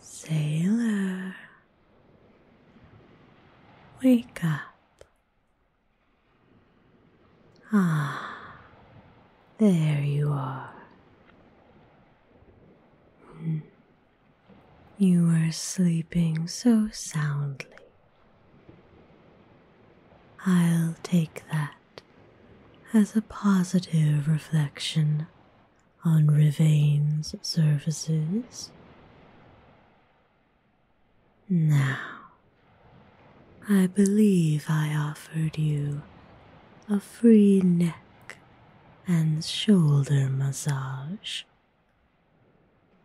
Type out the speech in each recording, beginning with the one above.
Sailor, wake up. Ah, there you are. Hmm. You were sleeping so soundly. I'll take that as a positive reflection on Rivain's services. Now, I believe I offered you a free neck and shoulder massage.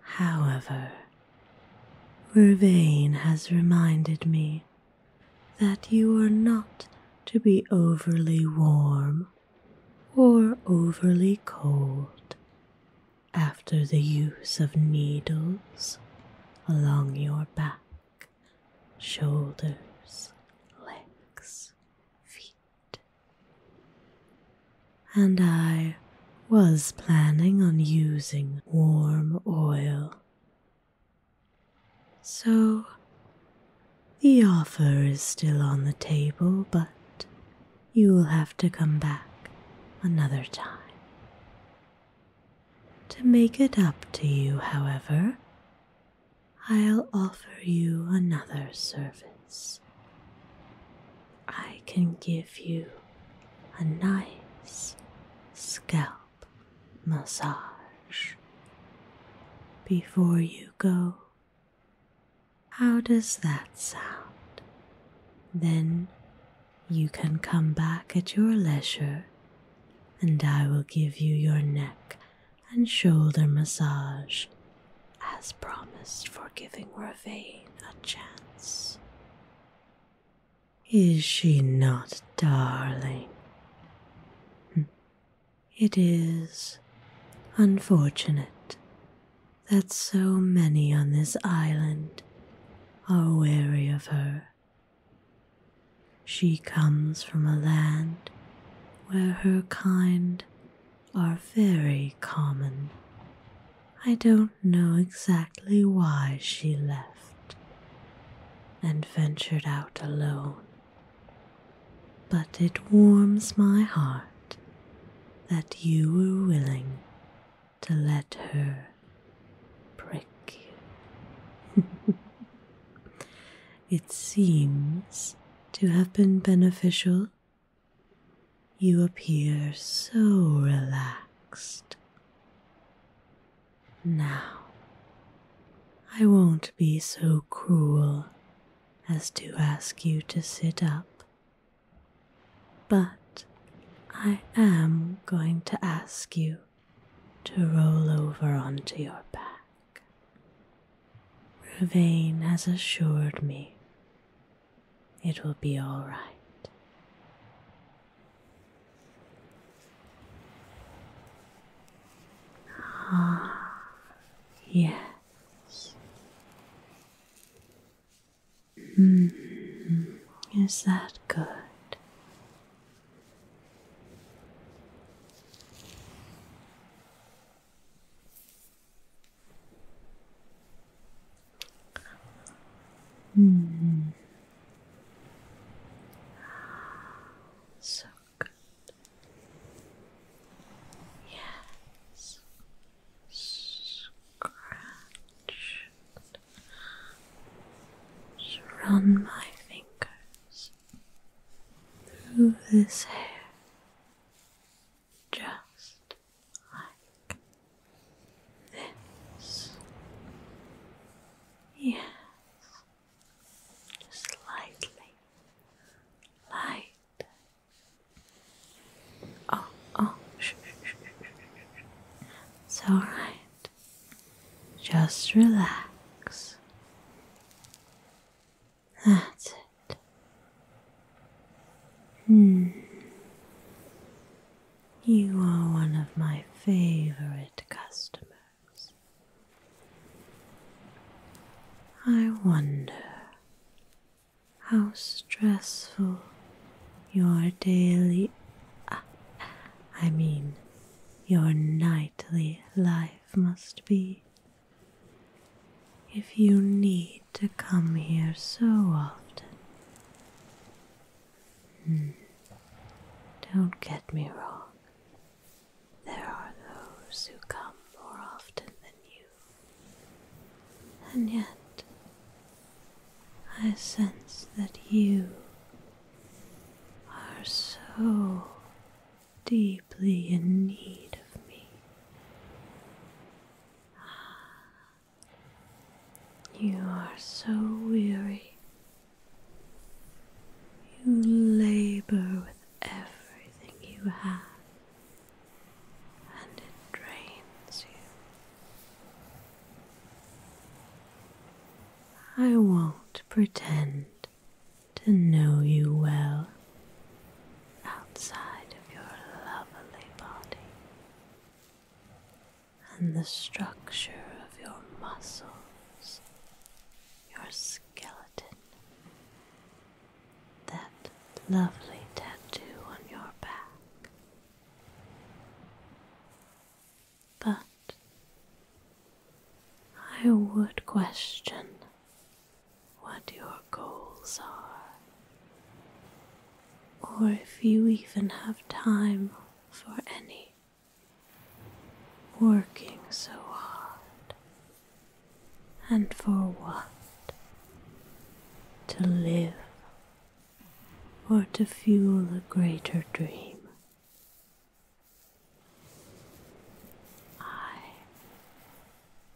However, Vervain has reminded me that you are not to be overly warm or overly cold after the use of needles along your back shoulders, legs, feet. And I was planning on using warm oil. So, the offer is still on the table, but you will have to come back another time. To make it up to you, however, I'll offer you another service. I can give you a nice scalp massage. Before you go, how does that sound? Then you can come back at your leisure and I will give you your neck and shoulder massage as promised for giving Ravain a chance. Is she not darling? Hmm. It is unfortunate that so many on this island are wary of her. She comes from a land where her kind are very common. I don't know exactly why she left and ventured out alone, but it warms my heart that you were willing to let her prick it seems to have been beneficial. You appear so relaxed. Now, I won't be so cruel as to ask you to sit up, but I am going to ask you to roll over onto your back. Ruvain has assured me it will be all right. Ah, yes. -hmm. Is that good? Hmm. So good. Yes. Scratch. Just run my fingers through this hair just like this. Yes, just lightly, light. Oh, oh, shh, shh, It's all right. Just relax. That's it. Hmm. You are one of my favorite customers. I wonder how stressful your daily. I mean, your nightly life must be. If you need to come here so often. Hmm, don't get me wrong. There are those who come more often than you. And yet, I sense that you are so deeply in need of me. Ah, you are so weary. You labor with everything you have, and it drains you. I won't pretend to know you well outside of your lovely body and the structure of your muscles, your skeleton, that lovely tattoo on your back but I would question what your goals are, or if you even have time for any. Working so hard, and for what? To live or to fuel a greater dream. I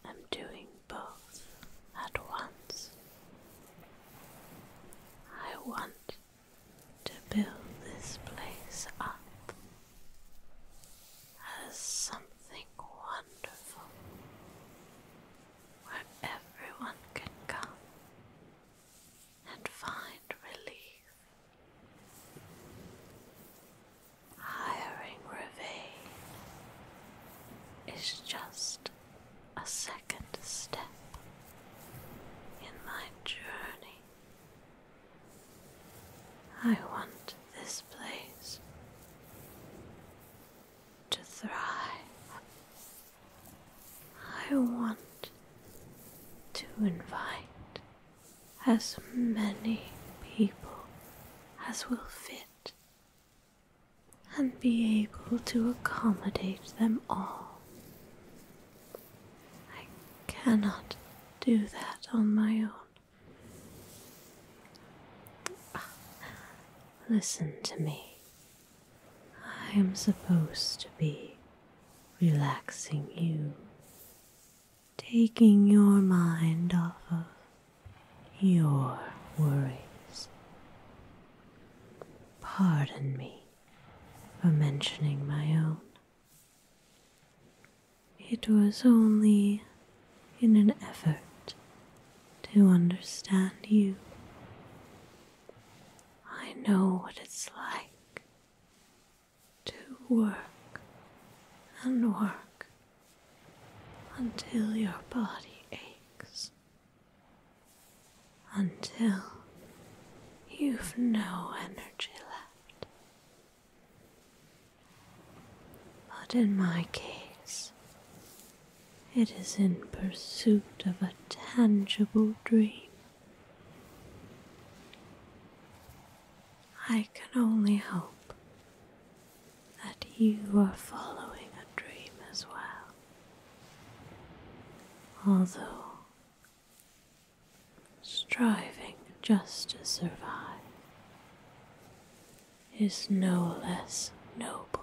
am doing both at once. I want to build this place up as something wonderful where everyone can come and find relief. Hiring Ravine is just a second step in my journey. I want this place to thrive. I want to invite as many people as will fit and be able to accommodate them all. I cannot do that on my own. Listen to me. I am supposed to be relaxing you, taking your mind off of your worries. Pardon me for mentioning my own. It was only in an effort to understand you. I know what it's like to work and work until your body aches, until you've no energy left. But in my case, it is in pursuit of a tangible dream. I can only hope that you are following a dream as well, although striving just to survive is no less noble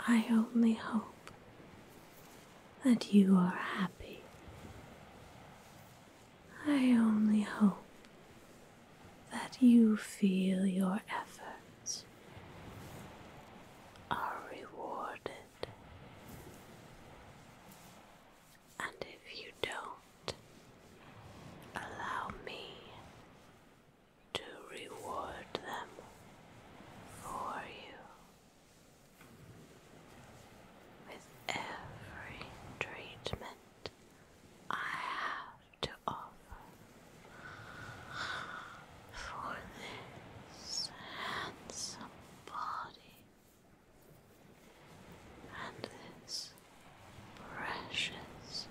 I only hope that you are happy. I only hope that you feel your efforts are rewarded. And if you don't, allow me to reward them for you. With every treatment I have to offer for this handsome body and this precious,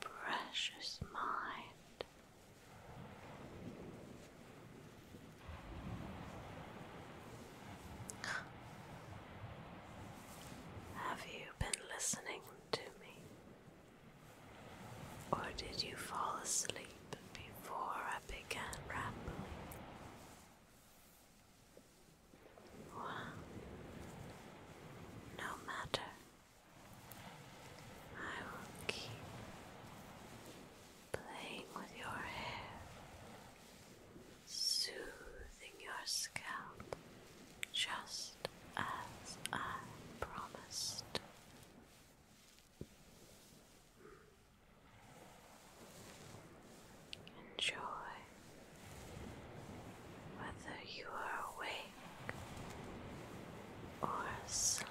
precious mind. Have you been listening to me? Or did you fall asleep before I began rambling? Well, no matter. I will keep playing with your hair, soothing your scalp just as I promised. Enjoy whether you are awake or sleep.